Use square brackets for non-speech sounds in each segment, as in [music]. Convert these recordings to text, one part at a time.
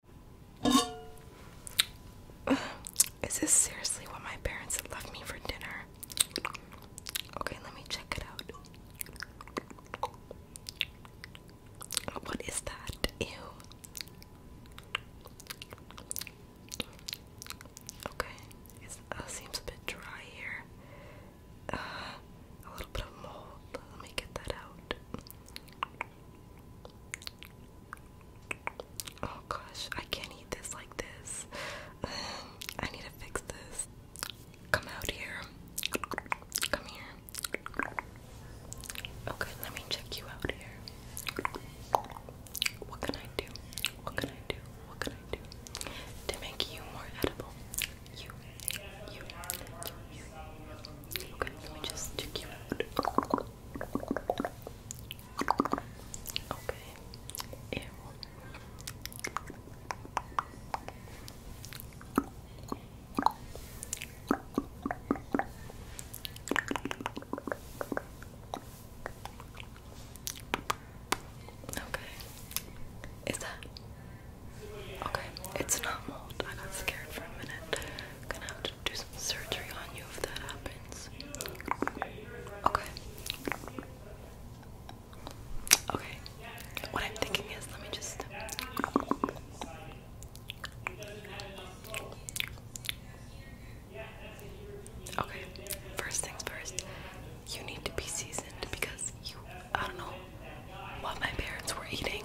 [sighs] Is this seriously what my parents had left me for dinner? Okay, let me check it out. What is that? Ew. Okay, it uh, seems a bit dry here. Uh, a little bit of mold. Let me get that out. Oh gosh, I can't eat this like this. [sighs] I need to fix this. Come out here. Come here. Okay, let me check you out here. What can I do? What can I do? What can I do to make you more edible? you, you, you, Okay, let me just check you out. Okay, Okay, is that okay? It's not mold. I got scared for a minute. gonna have to do some surgery on you if that happens. Okay. Okay. What I'm thinking is, let me just. Okay. First things first. You need to be seasoned because you. I don't know what my parents were eating.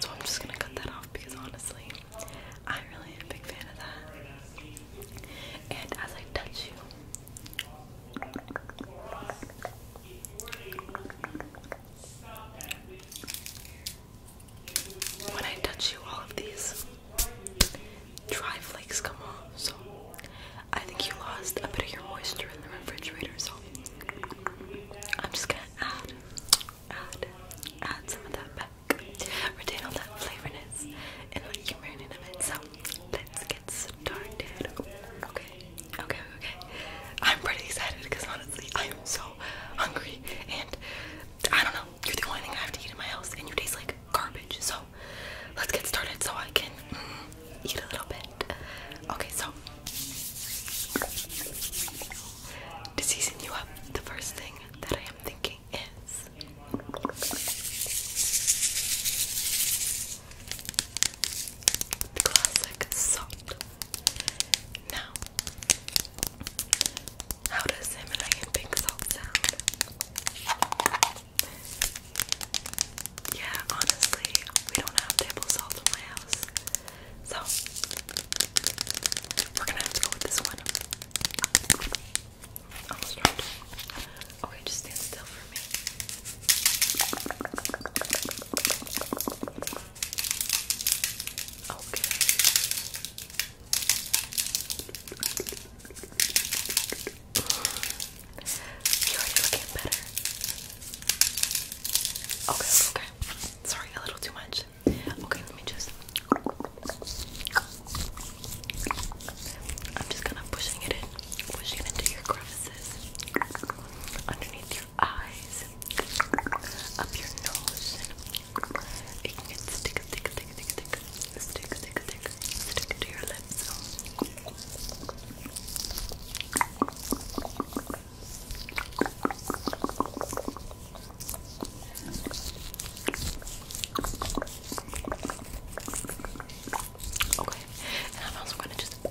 So I'm just gonna cut that off because honestly, I really am a big fan of that. And as I touch you, when I touch you, all of these dry flakes come off. So I think you lost a bit of your moisture in the refrigerator. So I'm just gonna add add, add some of that back, retain all that flavorness and what you marinate of it. So let's get started. Okay, okay, okay. I'm pretty excited because honestly, I am so hungry and I don't know. You're the only thing I have to eat in my house, and you taste like garbage. So let's get started so I can mm, eat a little bit. Okay, so to season you up, the first thing that I am thinking is classic salt. Now, how does Himalayan pink salt sound? Yeah, honestly, we don't have table salt in my house. So we're gonna have to go with this one. Okay, just stand still for me. You're already looking better. Okay, okay. Sorry, a little too much. Okay, let me just. I'm just kind of pushing it in, pushing into your crevices, underneath your eyes, up your nose, and it can stick, stick, stick, stick, to your lips. Okay, and I'm also gonna just on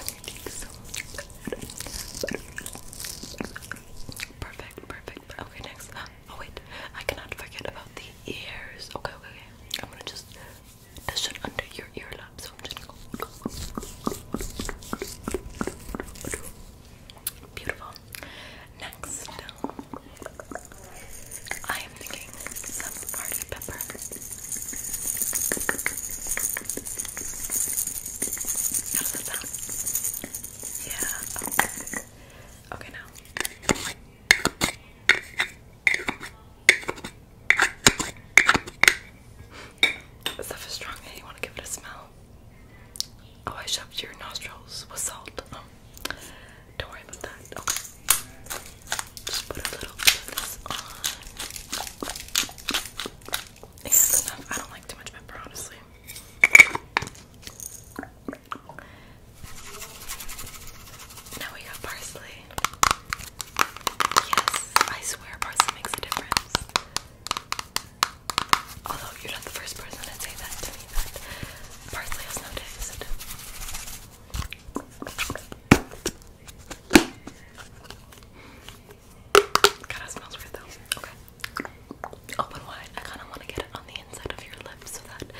your cheeks. Perfect, perfect. Okay, next. Oh wait, I cannot forget about the ears. Okay, okay, okay. I'm gonna just this it under your earlobe, so I'm just gonna Beautiful. Next, I am thinking some party pepper. Yeah. Okay. Okay now. That stuff strong. Hey, you want to give it a smell? Oh, I shoved your nostrils with salt. Um, don't worry about that. Oh. Just put a little bit this on. I don't like too much pepper, honestly. Now we got parsley. Yes, I swear parsley makes a difference. Although you're not the first person to say that to me, that parsley has noticed. God, it smells weird though. Okay. Open wide. I kind of want to get it on the inside of your lips so that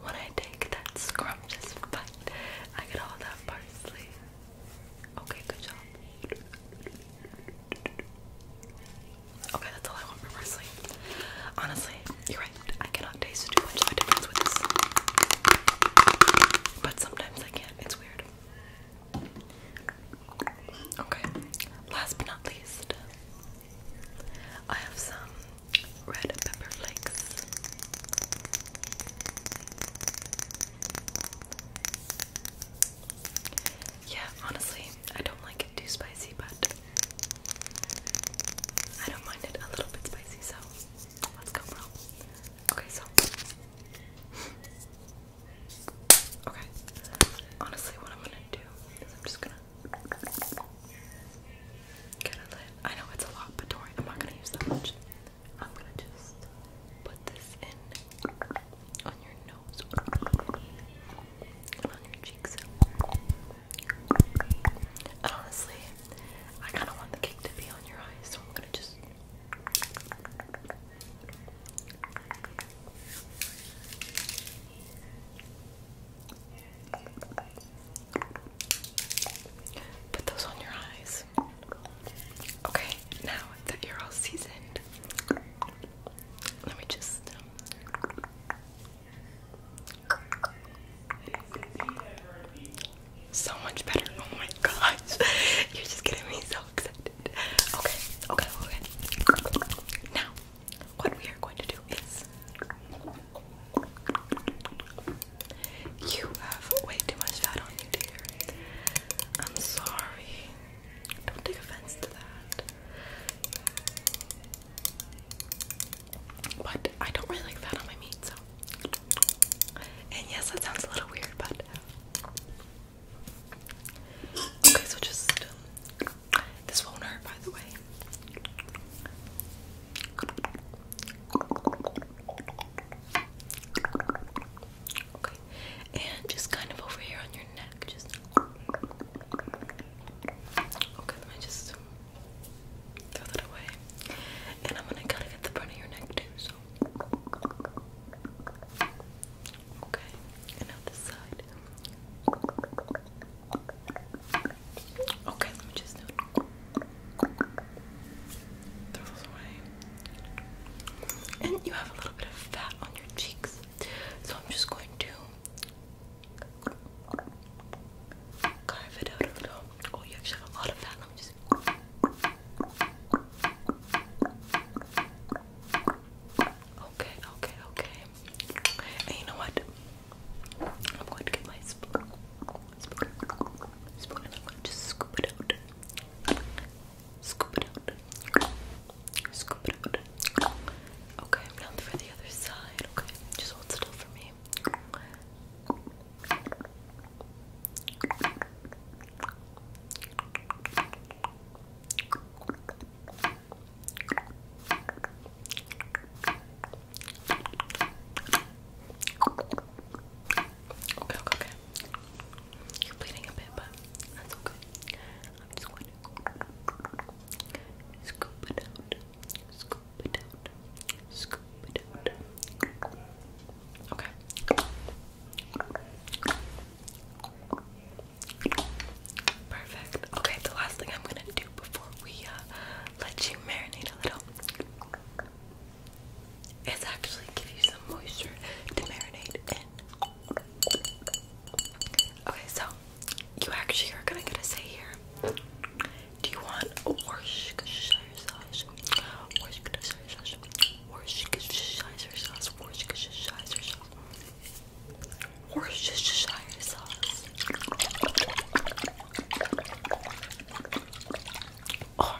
when I take that scrumptious bite, I get all that parsley. Okay, good job. Okay, that's all I want for parsley. Honestly, you're right. I cannot taste too much of a difference with this. But sometimes I can. It's weird. Okay, last but not least, I have some red pepper flakes. Yeah, honestly, I don't like it too spicy, but I don't mind it a little bit spicy, so let's go, bro. Okay, so. Okay. Honestly, what I'm gonna do is I'm just gonna. Get I know it's a lot, but don't worry, I'm i am not going to use that much. I'm gonna just put this in on your nose, on your cheeks. And honestly, I kind of want the cake to be on your eyes, so I'm gonna just. Put those on your eyes. Okay, now that you're all seasoned, let me just. Um, so much better. Oh my gosh. [laughs] You're just getting me so excited. Okay, okay, okay. Now, what we are going to do is you have way too much fat on you, dear. I'm sorry. Don't take offense to that. But I don't really like fat on my meat, so. And yes, that sounds a little weird, but. Okay, so just. Um, this won't hurt, by the way. Okay, and just kind of over here on your neck, okay. Let me just throw that away, and I'm gonna kind of get the front of your neck too. So, okay, and now side. Okay, let me just do throw those And you have a little bit of fat on your cheeks, so I'm just going to carve it out a little. Oh, you have a lot of fat. Let me just. Okay, okay, okay. And you know what? I'm going to get my spoon, spoon, spoon, I'm going to scoop it out. Scoop it out. Scoop it out. Okay, now for the other side. Okay, just hold still for me. Okay, okay, okay. You're bleeding a bit, but that's okay. I'm just going to scoop it out. Scoop it out. Scoop it out. Okay. Perfect. Okay, the last thing I'm gonna do before we uh, let you marinate a little is actually give you some moisture to marinate in. Okay, so you actually are gonna get a say here. Do you want a Worcestershire sauce? Worcestershire sauce. Worcestershire sauce. Worcestershire sauce. Worcestershire sauce. Or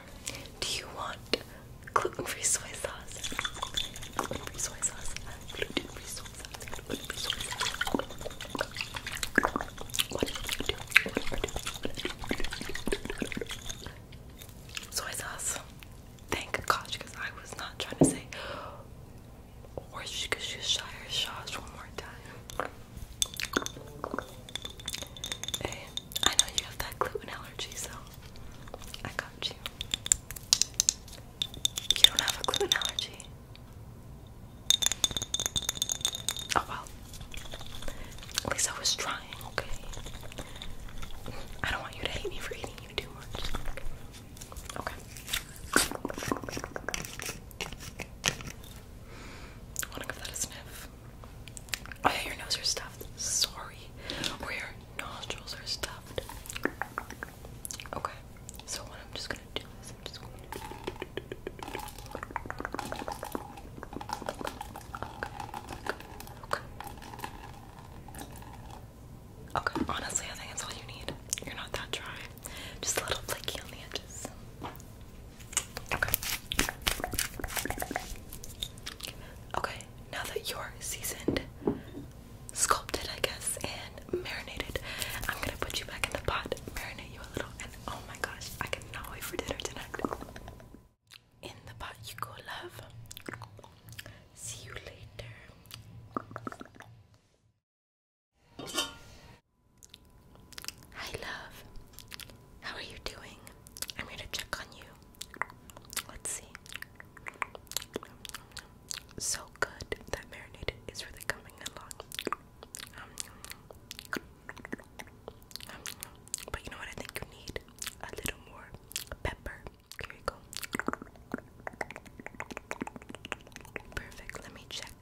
do you want gluten-free soy sauce? soy sauce. Thank gosh, because I was not trying to say or she could just shot her shots one more time. I know you have that gluten allergy, so I got you. You don't have a gluten allergy. Oh well. At least I was trying, okay? I don't want you to hate me for eating you too much. Okay. want to give that a sniff. Oh yeah, nose are stuffed. Sorry. Or nostrils are stuffed. Okay. So what I'm just gonna do is I'm just Okay, honestly, I think that's all you need. You're not that dry. Just a little flaky on the edges. Okay. Okay, now that you're seasoned, sculpted, I guess, and marinated, I'm gonna put you back in the pot, marinate you a little, and oh my gosh, I cannot wait for dinner tonight. In the pot you go, love. See you later. Hi, love. How are you doing? I'm here to check on you. Let's see. So good. That marinated is really coming along. but you know what? I think you need a little more pepper. Here you go. Perfect, let me check.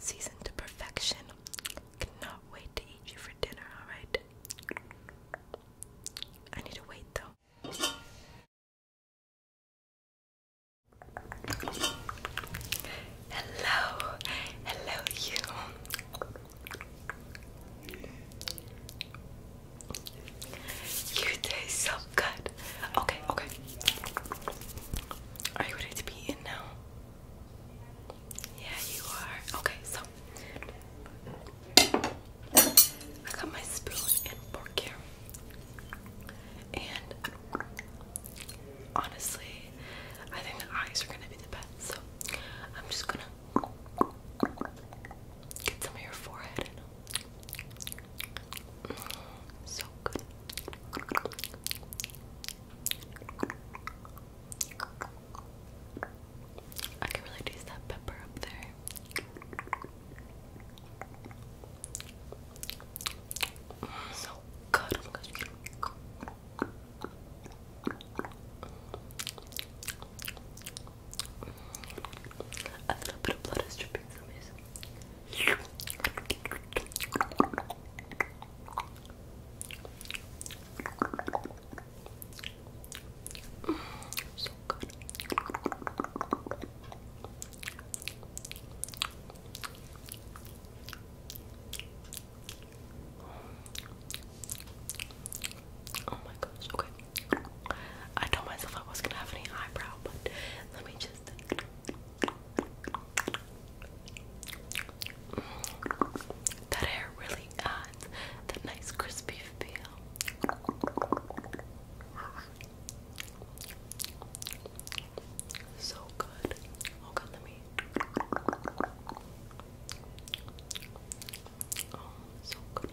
Seasoned to perfection. Cannot wait to eat you for dinner, alright? I need to wait though. Hello, hello, you. You taste so good. Okay, okay. Are you ready to be in now? Yeah, you are. Okay, so I got my spoon and fork here. And honestly, I think the eyes are gonna be the best. So I'm just gonna Get some of your forehead mm, So good. I can really taste that pepper up there. Mm, so good. A little bit of blood is dripping from his. Oh my gosh, okay. I told myself I wasn't gonna have any eyebrow, but let me just. that hair really adds that nice crispy feel. So good. Oh let me. Oh so good.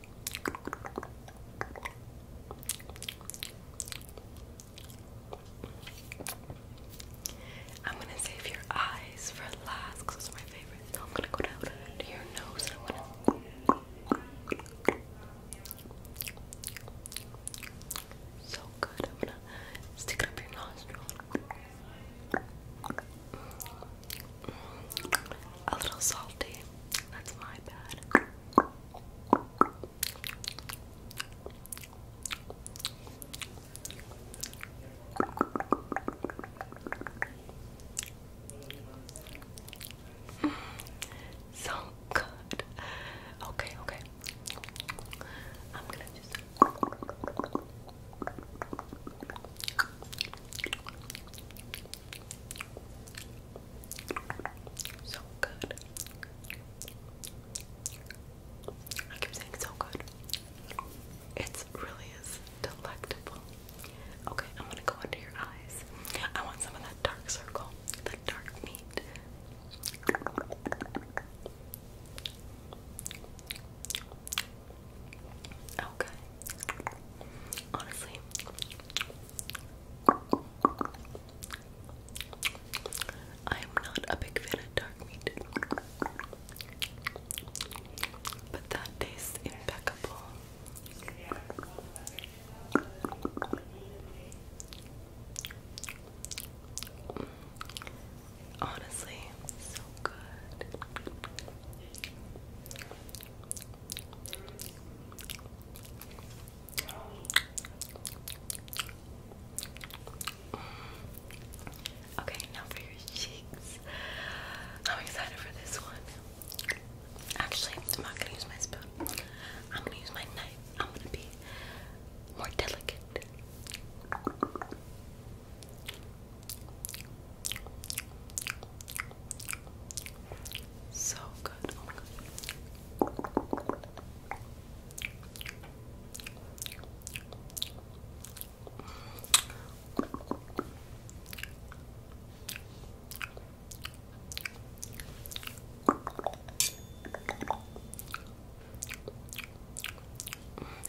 I'm gonna save your eyes for last because those are my favorites. Now I'm gonna go down to your nose So good. I'm gonna stick it up your nostril a little salty. That's my bad. Mm. So good. Okay, okay. I'm gonna just. So good. I keep saying so good. It really is delectable. Okay, I'm gonna go under your eyes. I want some of that dark circle, that dark meat. Okay. Honestly, I am not a big fan of dark meat. But that tastes impeccable. Honestly, so good. Okay, now for your cheeks. I'm excited for this one. Actually, I'm not gonna use my spoon. I'm gonna use my knife. I'm gonna be more delicate. So good.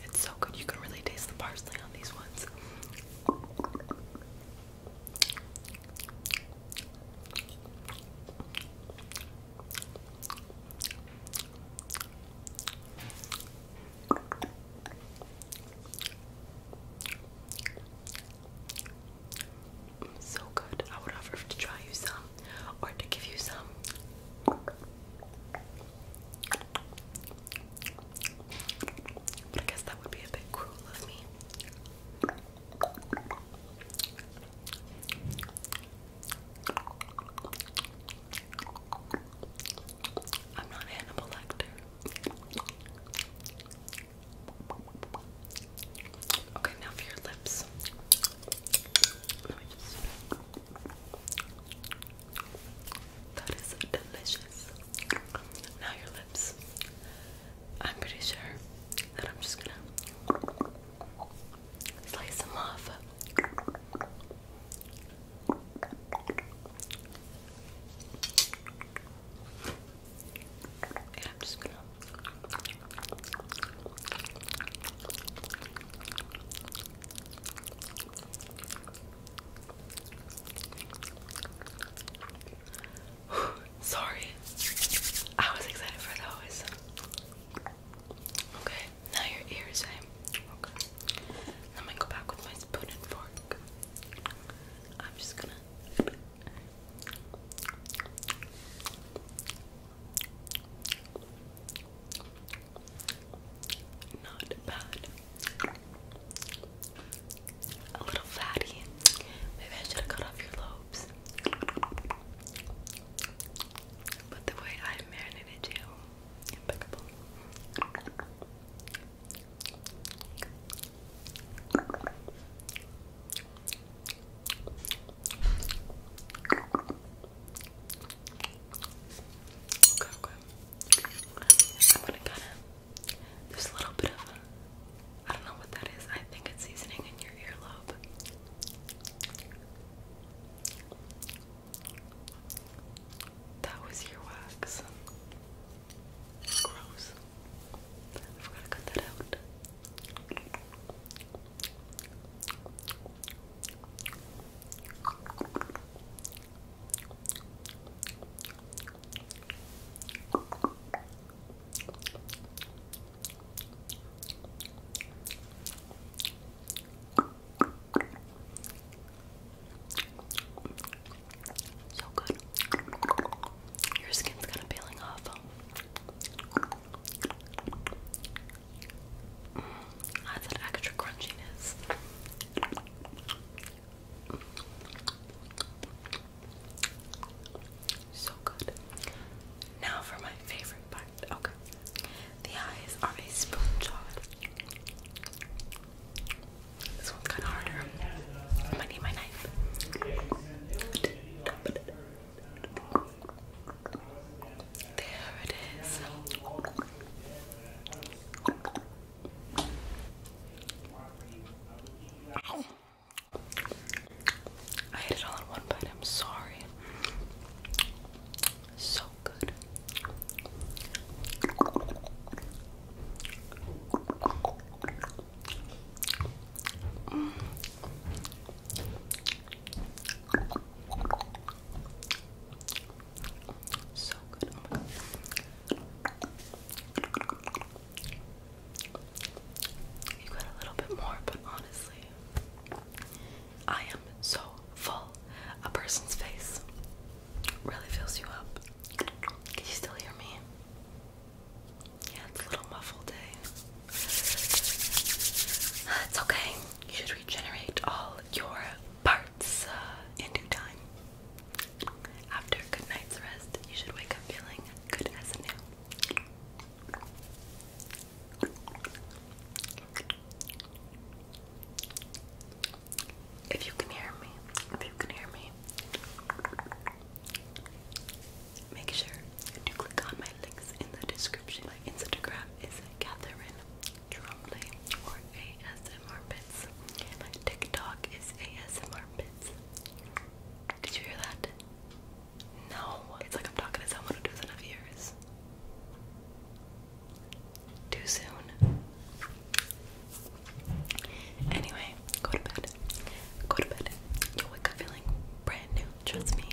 It's so good. You can really taste the parsley on these ones. So good. I would offer to try you some or to give you some. I guess that would be a bit cruel of me. I'm not Hannibal Lecter. Okay, now for your lips. That is delicious. Now your lips. I'm pretty sure that I'm just gonna slice them off. And I'm just gonna [sighs] Sorry. I was excited for those. Okay, now your ears, eh? Let me go back with my spoon and fork. I'm just gonna. Not bad. A little fatty. Maybe I should have cut off your lobes. But the way I marinated you, impeccable. I'm gonna kind of. There's a little bit of a. I don't know what that is. I think it's seasoning in your earlobe. That was your wax. Gross. I've got to cut that out. So good. Your skin's kind of peeling off. Mm, that's an extra crunchiness. So good. Now for my favorite part. Okay. The eyes are a spoon jawed. This one's kinda harder. I need my knife. There it is. I ate it all in one bite. I'm sorry. So good. So good. Oh my You got a little bit more, but honestly, I am so full. A person's face really fills you up. Can you still hear me? Yeah, it's a little muffled eh? [sighs] It's okay. You should regenerate all your parts starts uh, in due time. After a good night's rest, you should wake up feeling good as new. If you can hear me, if you can hear me, make sure to click on my links in the description. My Instagram is Catherine Trombley or ASMR Bits. TikTok is ASMR Bits. Did you hear that? No. It's like I'm talking to someone who doesn't ears. Too soon. Anyway, go to bed. Go to bed. you wake up feeling brand new. Trust me.